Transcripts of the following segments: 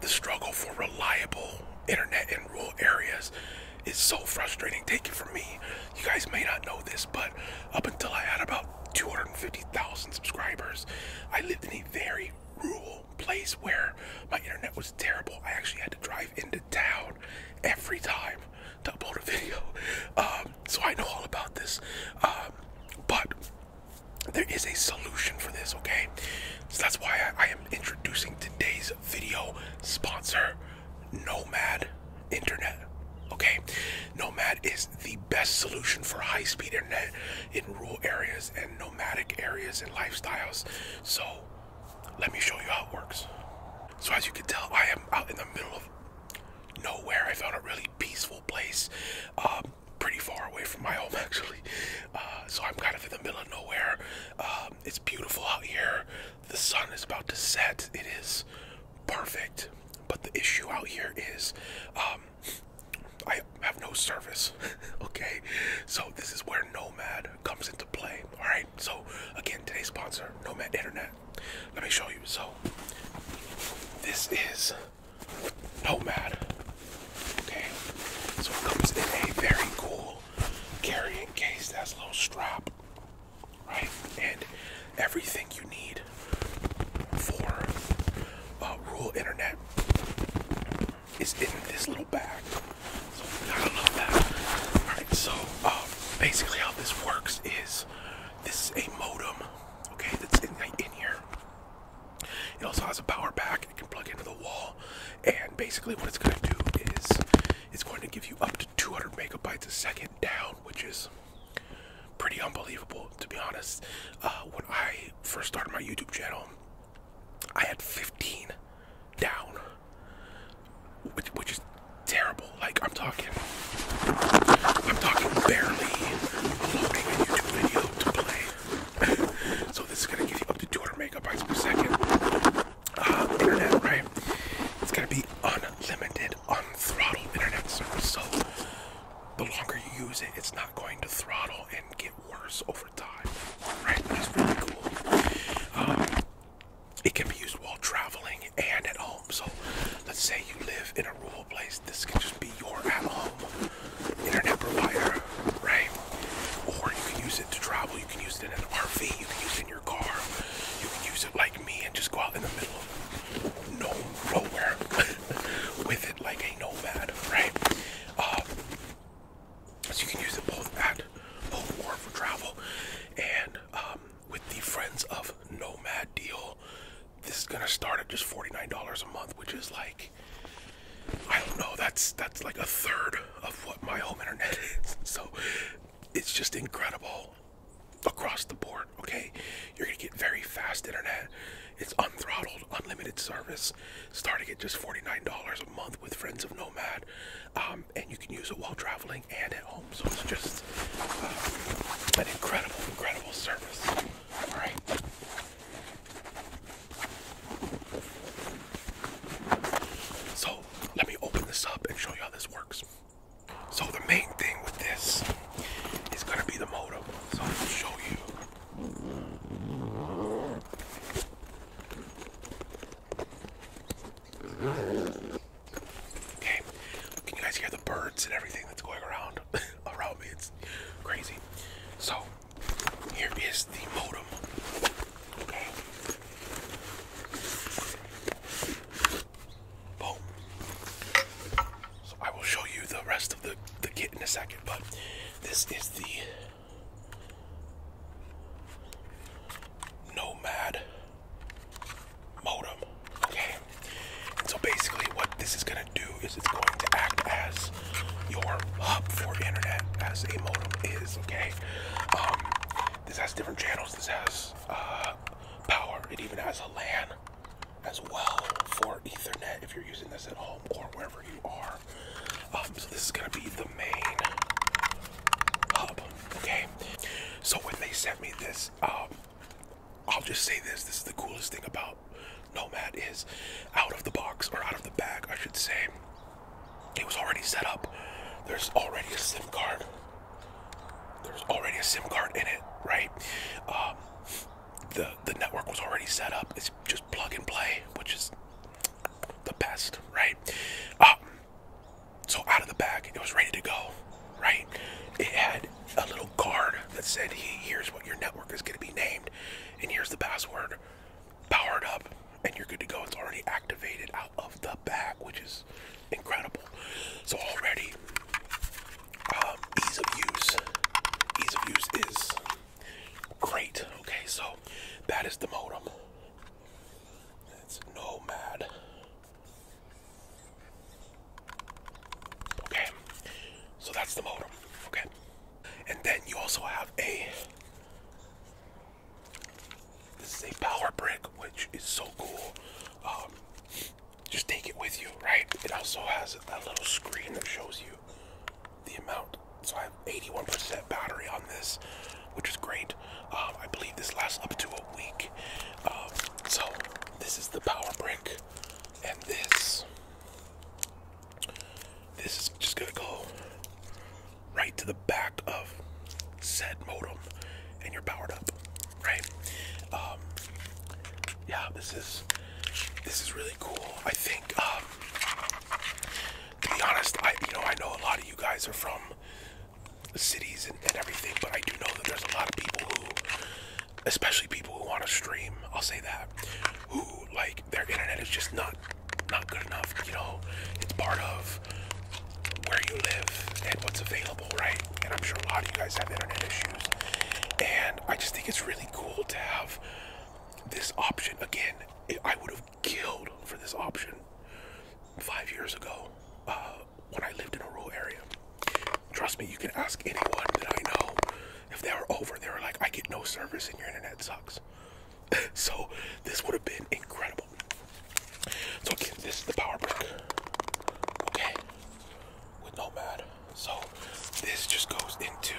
The struggle for reliable internet in rural areas is so frustrating. Take it from me. You guys may not know this, but up until I had about 250,000 subscribers, I lived in a very rural place where my internet was terrible. I actually had to drive into town every time to upload a video. Um, so I know all about this. Um, but there is a solution for this, okay? So that's why I, am introducing today's video sponsor, Nomad Internet. Okay, Nomad is the best solution for high speed internet in rural areas and nomadic areas and lifestyles. So, let me show you how it works. So, as you can tell, I am out in the middle of nowhere. I found a really peaceful place. Um, pretty far away from my home actually uh, so i'm kind of in the middle of nowhere um, it's beautiful out here the sun is about to set it is perfect but the issue out here is um, i have no service okay so this is where nomad comes into play all right so again today's sponsor nomad internet let me show you so this is Nomad. Okay, so it comes in a very cool carrying case that's a little strap, right? And everything you need for uh, rural internet is in this little bag. So I love that. Alright, so uh, basically how this works is this is a modem, okay, that's in here. It also has a power pack. It can plug into the wall, and basically what it's going to do is it's going to give you up to 200 megabytes a second down, which is pretty unbelievable to be honest. Uh, when I first started my YouTube channel, I had 15 down, which, is terrible. Like I'm talking, I'm talking barely loading a YouTube video to play so this is gonna give you up to 200 megabytes per second uh, internet, right? It's gonna be unlimited, unthrottled internet service. So the longer you use it, it's not going to throttle and get worse over time, right? Which is really cool. Um, it can be used while traveling and at home. So let's say you live in a rural place. This can just be your at-home internet provider, right? Or you can use it to travel. You can use it in an RV. You can use it in your car. You can use it like me and just go out in the middle of no nowhere with it like a nomad, right? Uh, so you can use it both at home or for travel. And um, with the Friends of Nomad deal, this is gonna start at just forty-nine dollars a month, which is like I don't know. That's that's like a third of what my home internet is. So it's just incredible across the board. Okay, you're gonna get very fast internet. It's unthrottled, unlimited service, starting at just forty-nine dollars a month with Friends of Nomad, um, and you can use it while traveling and at home. So it's just uh, an incredible, incredible service. All right. So let me open this up and show you how this works. So the main thing with this is gonna be the motor. So I'll show you. Okay, can you guys hear the birds and everything that's going around? It's crazy. So here is the modem. Boom. So I will show you the rest of the, the kit in a second, but this is the Nomad modem. Okay. And so basically what this is gonna do is it's going to act as your hub for internet as a modem is, okay? Um, this has different channels, this has uh, power, it even has a LAN as well for ethernet if you're using this at home or wherever you are. Um, so this is gonna be the main hub, okay? So when they sent me this, um, I'll just say this: this is the coolest thing about Nomad is out of the box or out of the bag, I should say. It was already set up. There's already a SIM card. There's already a SIM card in it, right? Um, the the network was already set up. It's just plug and play, which is the best, right? Um, so out of the bag, it was ready to go right? It had a little card that said, here's what your network is going to be named, and here's the password. Powered up, and you're good to go. It's already activated out of the bag, which is incredible. So, already, um, ease of use. Ease of use is great. Okay, so that is the modem. It's Nomad. Okay, so that's the modem. Okay, and then you also have a this is a power brick, which is so cool. Um, just take it with you, right? It also has a little screen that shows you the amount. So I have 81% battery on this, which is great. Um, I believe this lasts up to a week. Um, so this is the power brick, and this this is just gonna go right to the back of said modem, and you're powered up, right? Um, yeah, this is this is really cool. I think, um, to be honest, I you know I know a lot of you guys are from cities and, everything, but I do know that there's a lot of people who, especially people who want to stream, I'll say that, who like their internet is just not not good enough. You know, it's part of where you live and what's available, right? And I'm sure a lot of you guys have internet issues. And I just think it's really cool to have this option. Again, I would have killed for this option five years ago. Uh, when I lived in a rural area. Trust me, you can ask anyone that I know. If they were over, they were like, I get no service and your internet sucks. so this would have been incredible. So again, this is the power brick. Okay. With no Nomad. So this just goes into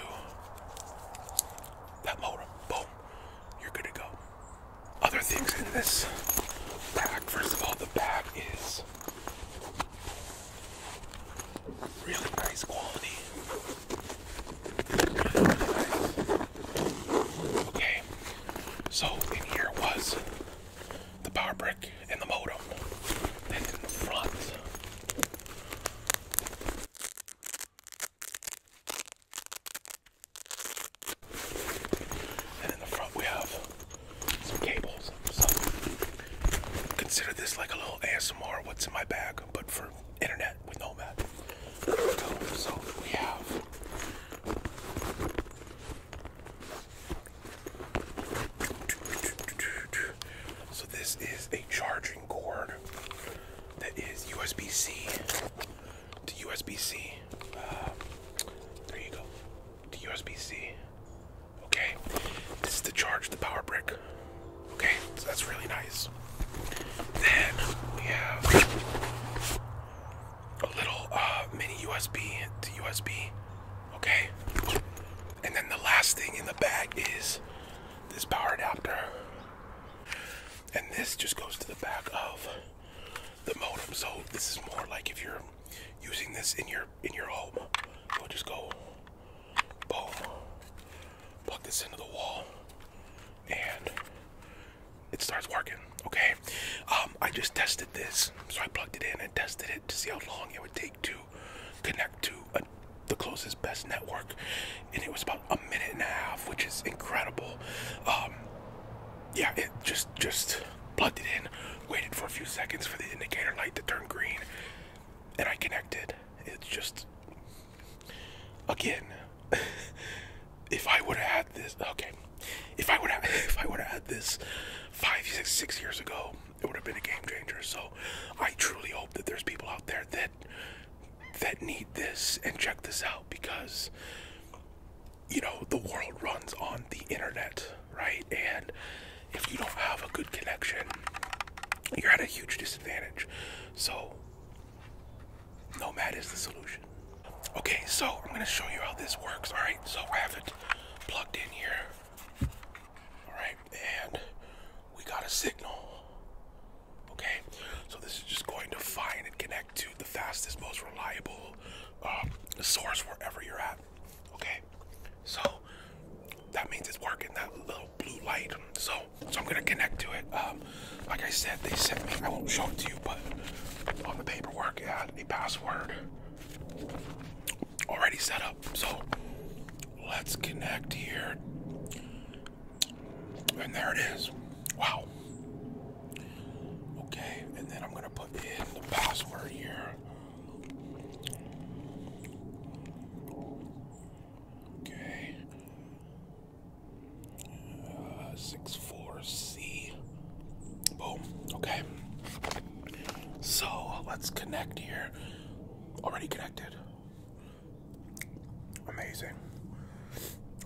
that motor. Boom. You're good to go. Other things in this bag. First of all, the bag is Really nice quality. Okay, so in here was the power brick and the modem. That's in the front. And in the front we have some cables. So consider this like a little ASMR what's in my bag, but for internet with Nomad. So we have so this is a charging cord that is USB-C to USB-C. Uh, there you go to USB-C. Okay, this is to charge the power brick. Okay, so that's really nice. Then we have a little uh, mini USB to USB. Okay, and then the last thing in the bag is this power adapter, and this just goes to the back of the modem. So this is more like if you're using this in your in your home, you'll just go boom, plug this into the wall, and it starts working. Okay, um, I just tested this, so I plugged it in and tested it to see how long it would take to connect to the closest best network, and it was about a minute and a half, which is incredible. Um, yeah, it just just plugged it in, waited for a few seconds for the indicator light to turn green, and I connected. It's just again, if I would have had this, okay, if I would have if I would have had this five six six years ago, it would have been a game changer. So I truly hope that there's people out there that that need this and check this out because you know, the world runs on the internet, right? And if you don't have a good connection, you're at a huge disadvantage. So, Nomad is the solution. Okay, so I'm gonna show you how this works, all right? So I have it plugged in here, all right? And we got a signal, okay? So this is just going to find and connect to the fastest, most reliable um, source wherever you're at. Okay, so that means it's working. That little blue light. So, so I'm gonna connect to it. Um, like I said, they sent me. I won't show it to you, but on the paperwork it had a password already set up. So let's connect here, and there it is. Wow. Okay, and then I'm gonna put in the password here. Okay. Uh, six four C. Boom. Okay. So let's connect here. Already connected. Amazing.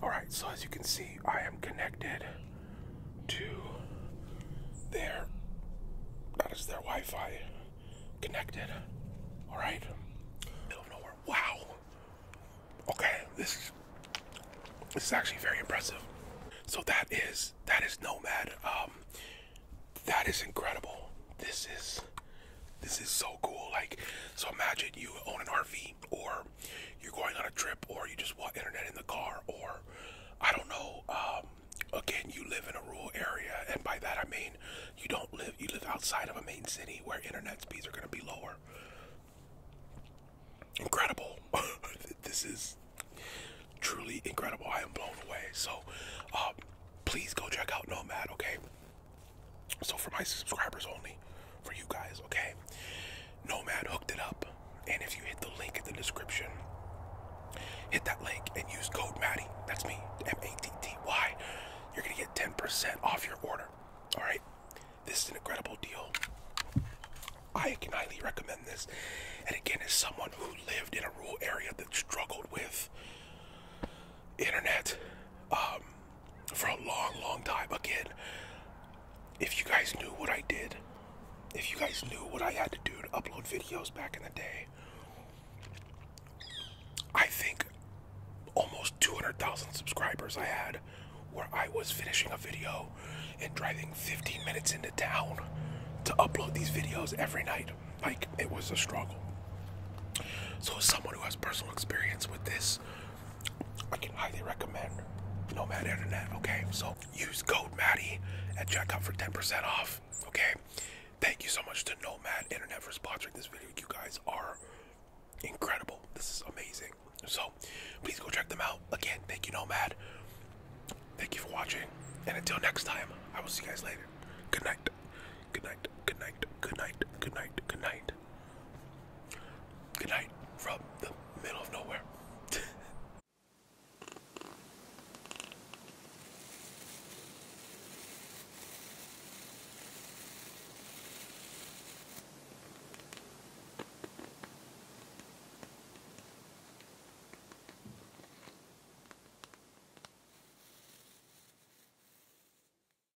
Alright, so as you can see, I am connected to their, that is their Wi Fi connected. Alright? Middle of nowhere. Wow! Okay, this is, this is actually very impressive. So that is, that is Nomad. Um, that is incredible. This is, this is so cool. Like, so imagine you own an RV or you're going on a trip or you just want internet in the car or I don't know um, again you live in a rural area and by that I mean you don't live you live outside of a main city where internet speeds are going to be lower incredible this is truly incredible I am blown away so uh, please go check out Nomad okay so for my subscribers only, for you guys, okay? Nomad hooked it up. And if you hit the link in the description, hit that link and use code Matty. That's me, M-A-T-T-Y. You're gonna get 10% off your order. All right, this is an incredible deal. I can highly recommend this. And again, as someone who lived in a rural area that struggled with internet, um, for a long, long time. Again, if you guys knew what I did, if you guys knew what I had to do to upload videos back in the day, I think almost 200,000 subscribers I had where I was finishing a video and driving 15 minutes into town to upload these videos every night. Like, it was a struggle. So, as someone who has personal experience with this, I can highly recommend Nomad Internet. Okay, so use code and at checkout for 10% off. Okay, thank you so much to Nomad Internet for sponsoring this video. You guys are incredible. This is amazing. So please go check them out. Again, thank you, Nomad. Thank you for watching. And until next time, I will see you guys later. Good night. Good night. Good night. Good night. Good night. Good night. Good night from the middle of nowhere.